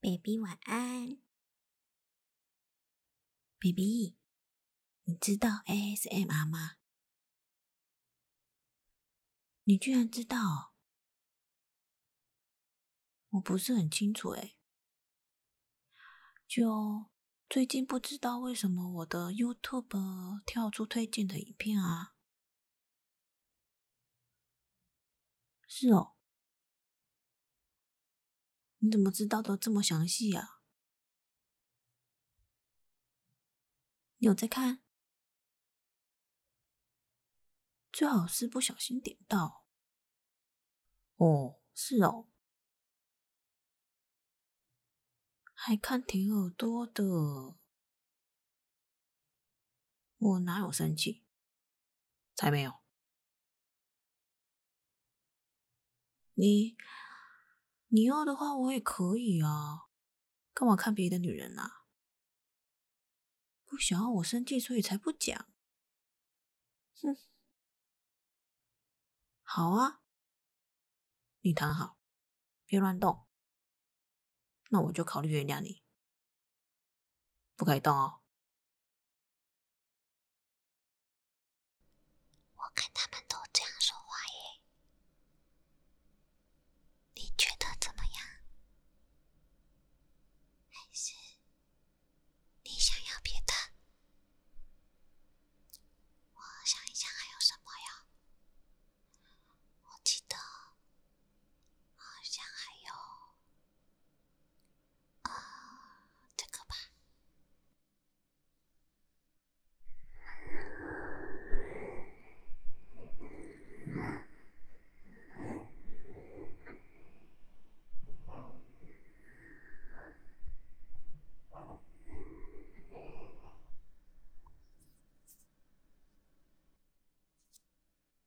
Baby，晚安。Baby，你知道 ASMR 吗？你居然知道？我不是很清楚诶。就最近不知道为什么我的 YouTube 跳出推荐的影片啊。是哦，你怎么知道的这么详细呀？你有在看？最好是不小心点到。哦，是哦，还看挺耳朵的。我哪有生气？才没有！你你要的话，我也可以啊。干嘛看别的女人呐？不想要我生气，所以才不讲。哼，好啊，你躺好，别乱动。那我就考虑原谅你。不以动哦。我看他们都这样说话耶，你觉得怎么样？还是你想要别的？我想一想还有什么呀？我记得好像还有。啊，这个吧。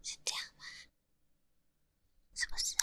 是这样吗？是不是啊？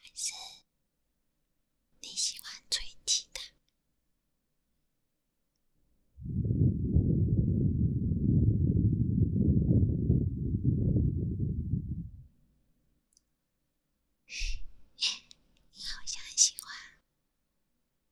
还是你喜欢吹吉的？你好像很喜欢。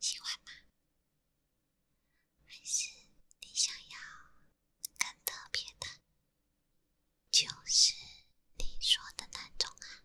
喜欢吗？还是你想要更特别的？就是你说的那种啊。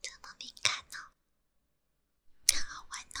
这么敏感呢，好玩呢。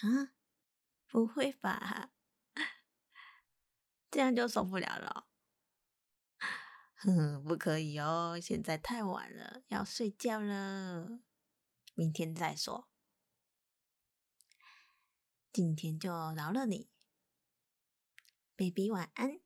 啊，不会吧，这样就受不了了。哼哼，不可以哦，现在太晚了，要睡觉了，明天再说。今天就饶了你，baby，晚安。